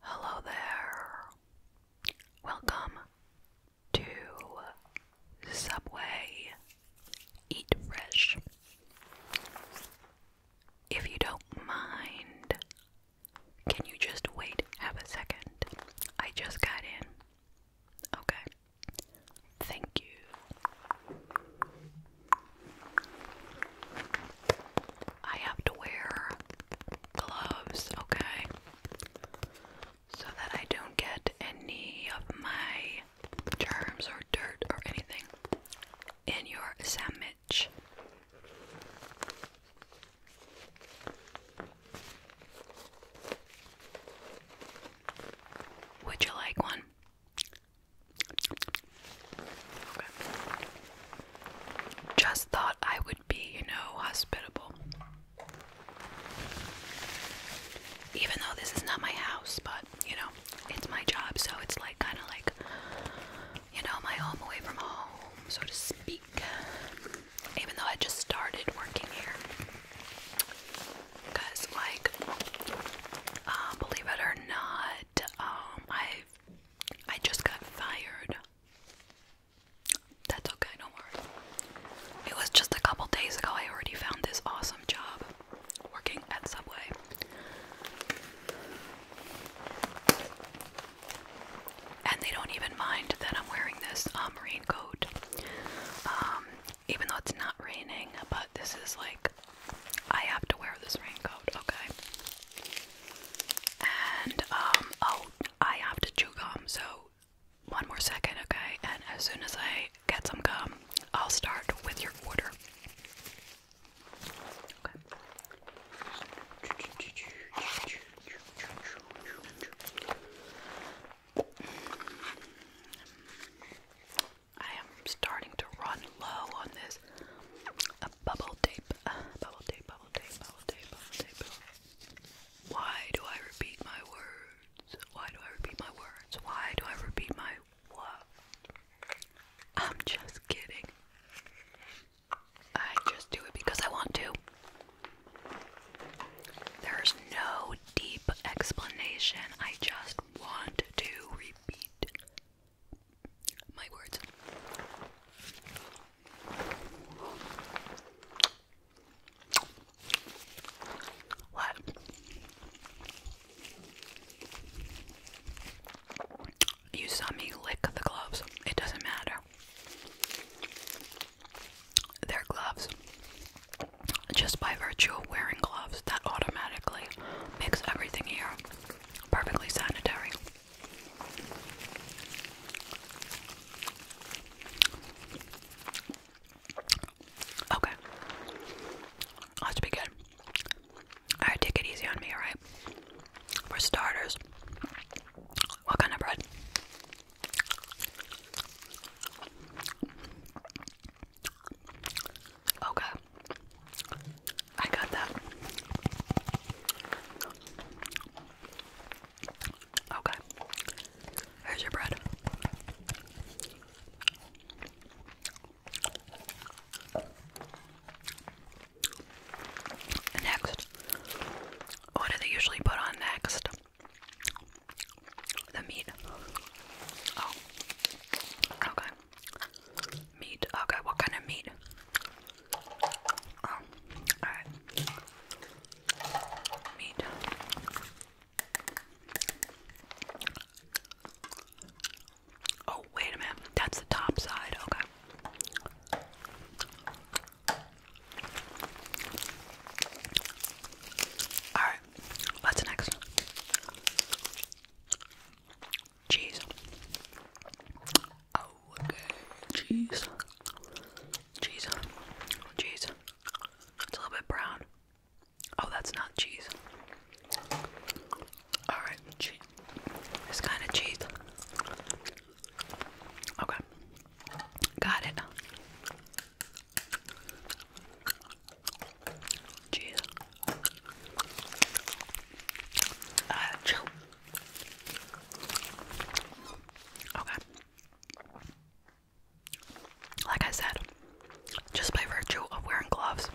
Hello there. Welcome to Subway Eat Fresh. If you don't mind, can you just wait half a second? I just got in. Okay. Oh, Thank you. I have to wear gloves, okay? So that I don't get any of my germs or dirt or anything in your sandwich. Would you like one? Just thought I would be, you know, hospitable. Even though this is not my house, but you know, it's my job, so it's like kind of like, you know, my home away from home, so to speak even though I just started working here. Because, like, uh, believe it or not, um, I I just got fired. That's okay, don't It was just a couple days ago. I already found this awesome job working at Subway. And they don't even mind that I'm wearing this uh, raincoat even though it's not raining, but this is like I have to wear this raincoat, okay? And um oh, I have to chew gum, so one more second, okay? And as soon as I get some gum, I'll start with your order. Okay. I am starting to run low on this bubble tape. bubble tape, bubble tape, bubble tape, bubble tape. Why do I repeat my words? Why do I repeat my words? Why do I repeat my what? I'm just kidding. I just do it because I want to. There's no deep explanation. I just want to repeat my words. What? You saw me lick the gloves. It doesn't matter their gloves. Just by virtue of wearing gloves, that automatically makes everything here perfectly sanitary. Okay. Let's be good. Alright, take it easy on me, alright? For starters, what kind of bread? Okay. I got that. Okay. Here's your bread. Next. What do they usually put on next? The meat. Oh. Okay. Meat. Okay, what kind of meat? Oh, alright. Meat. Oh, wait a minute. That's the top side. Okay. Alright what's next? Cheese. Oh, okay. Cheese. Cheese. Cheese. It's a little bit brown. Oh, that's not cheese. Alright, cheese. This kind of cheese. Okay. Got it. Jeez. Uh, chill. Okay. Like I said, just by virtue of wearing gloves,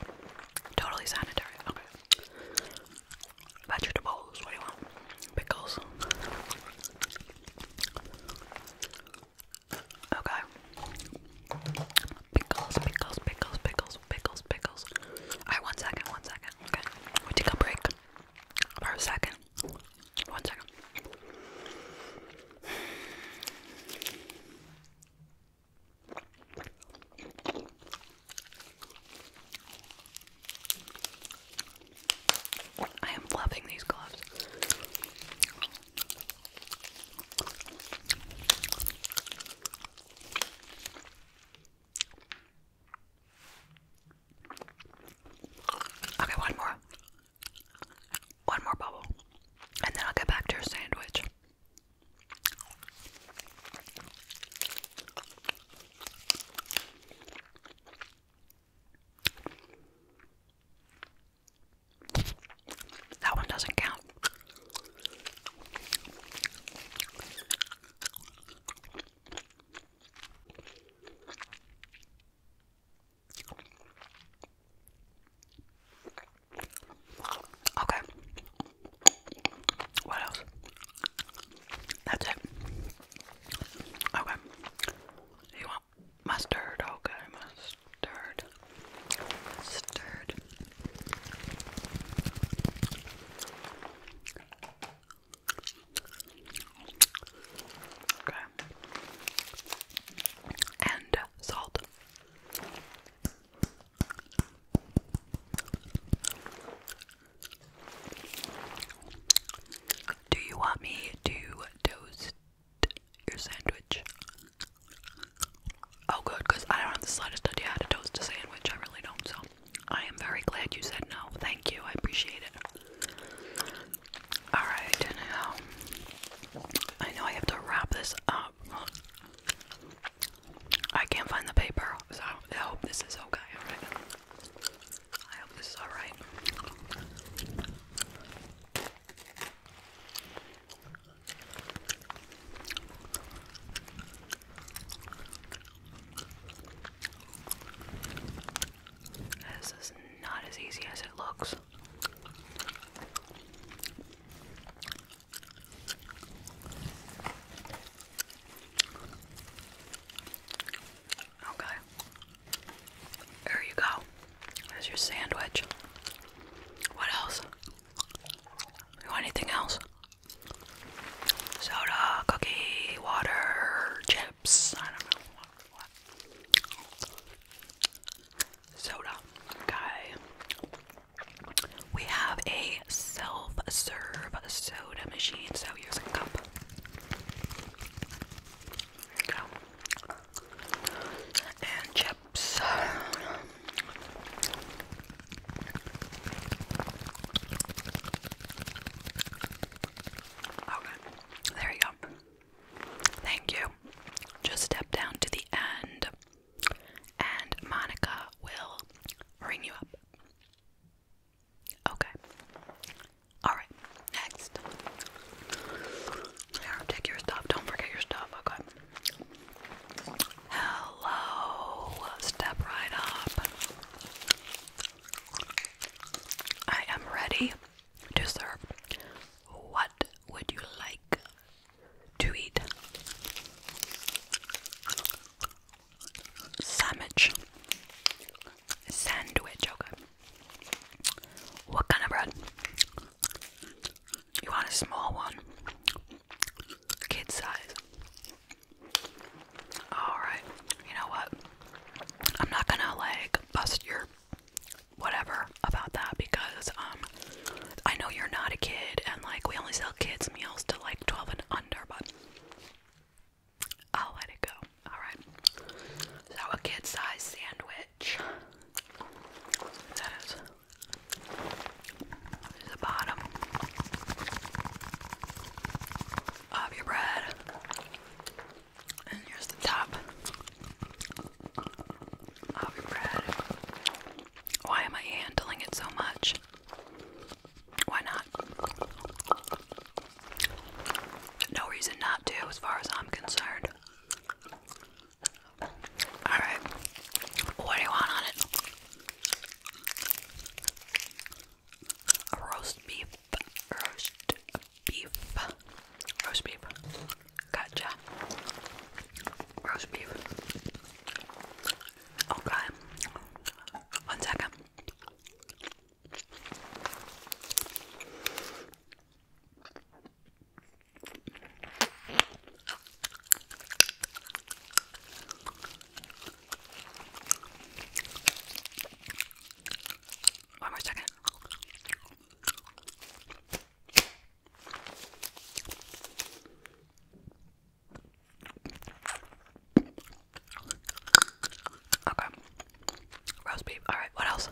totally sanitary. Vegetables, what you want? Pickles. Okay. Pickles, pickles, pickles, pickles, pickles, pickles. Alright, one second, one second. Okay. We take a break for a second. One second. I am loving these gloves. Okay, one more. One more bubble. And then I'll get back to your sandwich. That one doesn't count. Okay. What else? That's it. Okay. You want mustard. Okay, mustard. Mustard. Okay. And salt. Do you want me to toast your sandwich. Oh, good, because I don't have the slightest idea how to toast a sandwich. I really don't. So I am very glad you said no. Thank you. I appreciate it. Alright, now I know I have to wrap this up. I can't find the paper, so I hope this is okay. Alright. I hope this is alright. This is not as easy as it looks. Okay. There you go. There's your sandwich. What else? You want anything else? Soda, cookie, water, chips. I don't know what. Soda. Okay. We have a self-serve soda machine, so here's a cup. There you go and chips. Okay, there you go. Thank you. Just step down to the end, and Monica will ring you up. Okay. Alright, next. Here, take your stuff. Don't forget your stuff. Okay. Hello, step right up. I am ready to serve. What would you like to eat? Sandwich. Sandwich, okay. What kind of bread? You want a small one, kid size. Alright, you know what? I'm not gonna like bust your whatever about that because um I know you're not a kid and like we only sell kids meals to like 12 and under but I'll let it go. Alright. So a kid size sandwich. That is there's the bottom of your bread. And here's the top of your bread. Why am I handling it so much? Why not? No reason not to, as far as I'm concerned. Alright. What do you want on it? Roast beef. Roast beef. Roast beef. Gotcha. Roast beef. Okay. One second. One more second. Okay. Roast beef. Alright, what else?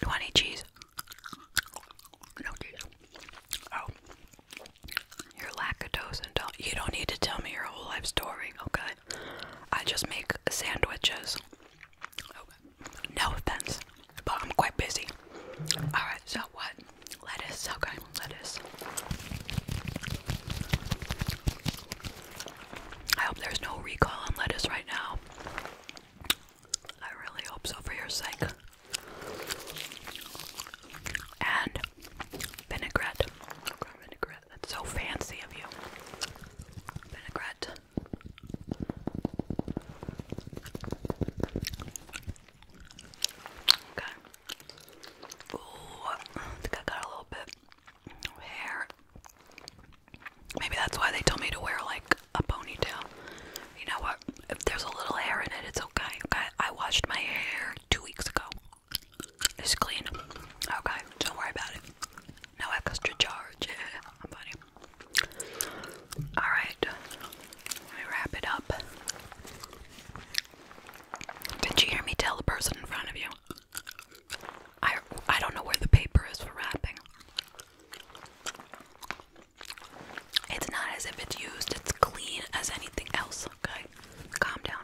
You want any cheese? No, Oh, you're lactose You don't need to tell me your whole life story, okay? I just make sandwiches. Okay. No offense, but I'm quite busy. Alright, so what? Lettuce, okay, lettuce. I hope there's no recall on lettuce right now. I really hope so for your sake. And vinaigrette. so fancy of you. Vinaigrette. Okay. Ooh, I think I got a little bit hair Maybe that's why they told me to wear like a ponytail. You know what? If there's a little hair in it, it's okay. Okay, I washed my hair two weeks ago. It's clean. Okay, don't worry about it. No extra charge. I'm funny. Alright, let me wrap it up. Did you hear me tell the person in front of you? I I don't know where the paper is for wrapping. It's not as if it's used, it's clean as anything else, okay? Calm down.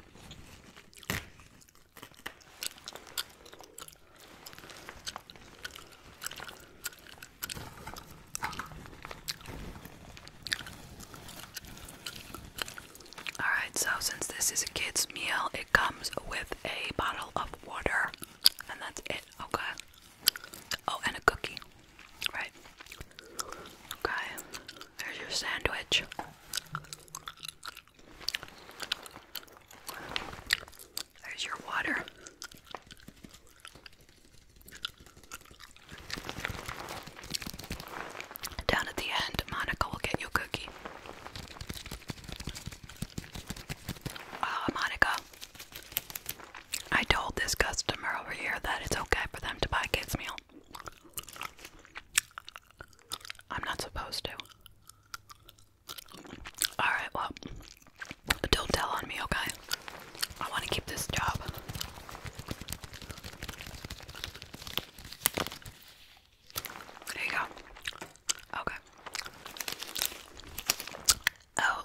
Alright, so since this is a kid's meal, it comes with a bottle of water, and that's it, okay? Oh, and a cookie. Right. Okay. There's your sandwich. There's your water. Down at the end, Monica will get you cookie. Uh, Monica, I told this customer over here that it's okay for them to buy kids' meal. I'm not supposed to. Alright, well, don't tell on me, okay? I want to keep this job. There you go. Okay.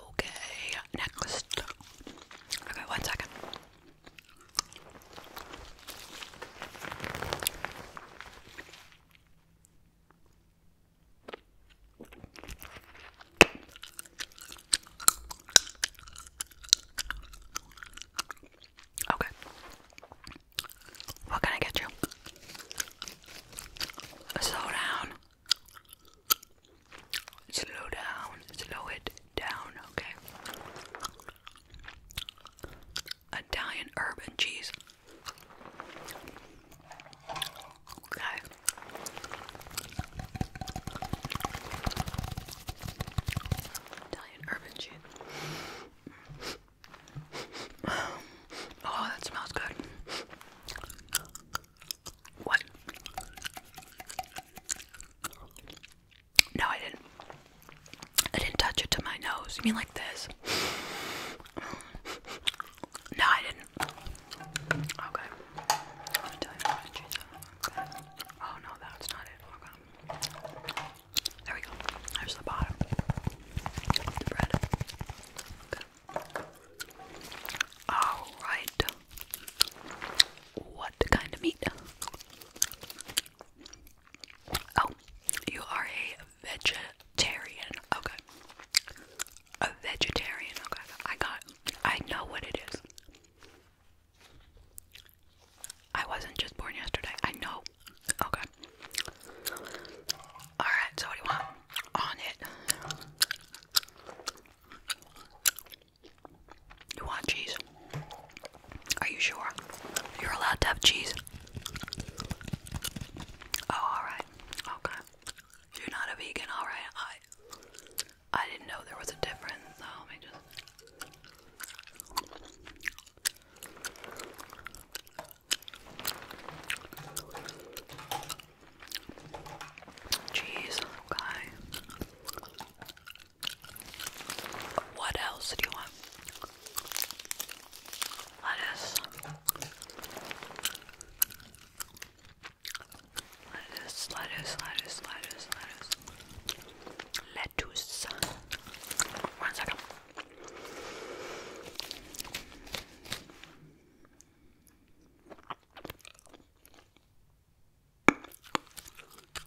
Okay, next. Okay, one second. Okay. What can I get you? Slow down. Slow down, slow it down, okay? Italian herb and cheese. Okay. Italian herb and cheese. Oh, that smells good. What? No, I didn't. I didn't touch it to my nose. mean like this? No, I didn't. Okay. Oh no, that's not it. There we go. There's the bottom the bread. Alright. What kind of meat? Oh, you are a vegetarian. Okay. A vegetarian. Okay. I got I know what it is. I wasn't just born yesterday. I know. Okay. Alright, so what do you want on it? You want cheese? Are you sure? You're allowed to have cheese. Oh, alright. Okay. You're not a vegan, alright. I I didn't know there was a difference, so let me just Jeez, okay. What else do you want? Lettuce, lettuce, lettuce, lettuce, lettuce. Lettuce. One second.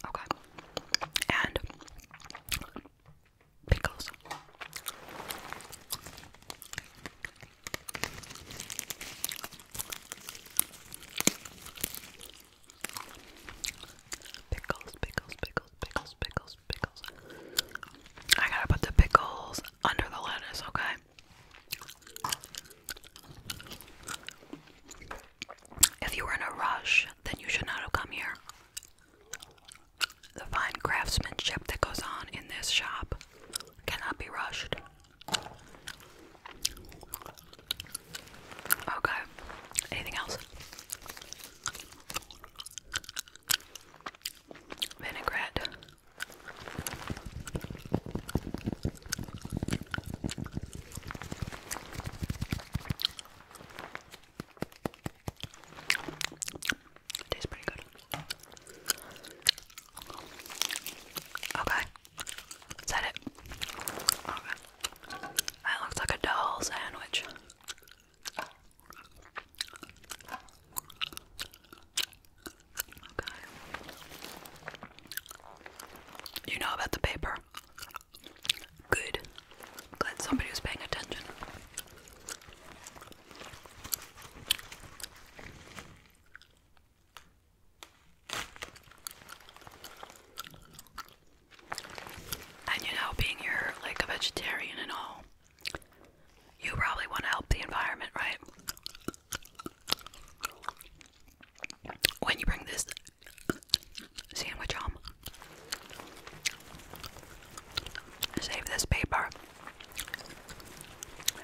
Okay. And pickles. Pickles, pickles, pickles, pickles, pickles, pickles. I gotta put the pickles under the lettuce, okay? If you were in a rush, then you should not have come here. The fine craftsmanship that goes on in this shop cannot be rushed. Okay, anything else? Vinaigrette. Tastes pretty good. Okay. Is it? Okay. That looks like a doll sandwich. You know about the paper. Good. glad somebody was paying attention. And you know, being you're like a vegetarian and all, you probably want to help the environment, right? When you bring this sandwich home, save this paper.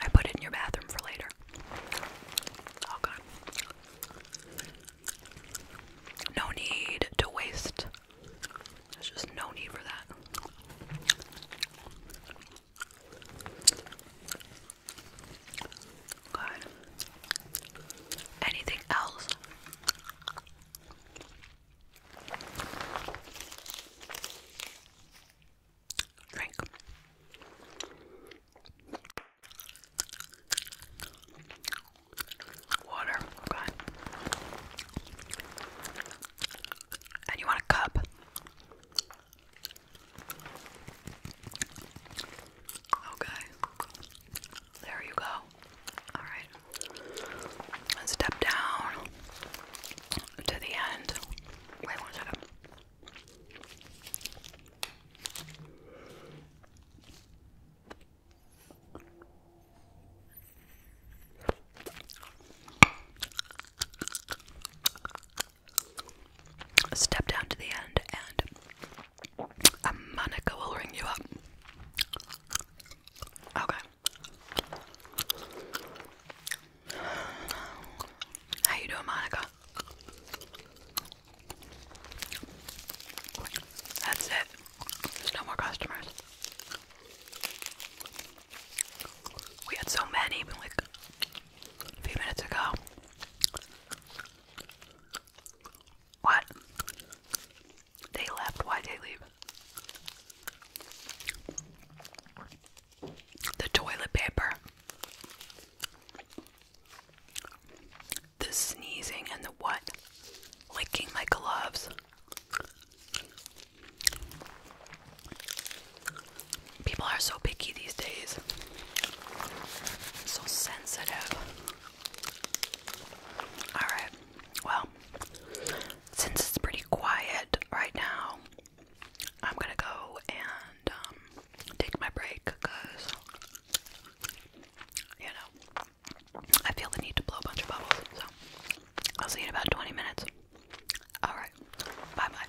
I put it in your bathroom for later. No need to waste. There's just no need for that. God. Anything else? Drink. Water. Okay. Oh, and you want a cup? Okay. There you go. Alright. step down to the end. Wait one second. Step down to the end, and Monica will ring you up. Okay. How you doing, Monica? That's it. There's no more customers. We had so many, like a few minutes ago. What? They left. why they leave? The toilet paper. The sneezing and the what? Licking my gloves. People are so picky these days. So sensitive. Alright, well, since it's pretty quiet right now, I'm gonna go and um, take my break because, you know, I feel the need to blow a bunch of bubbles. So, I'll see you in about 20 minutes. Alright, bye bye.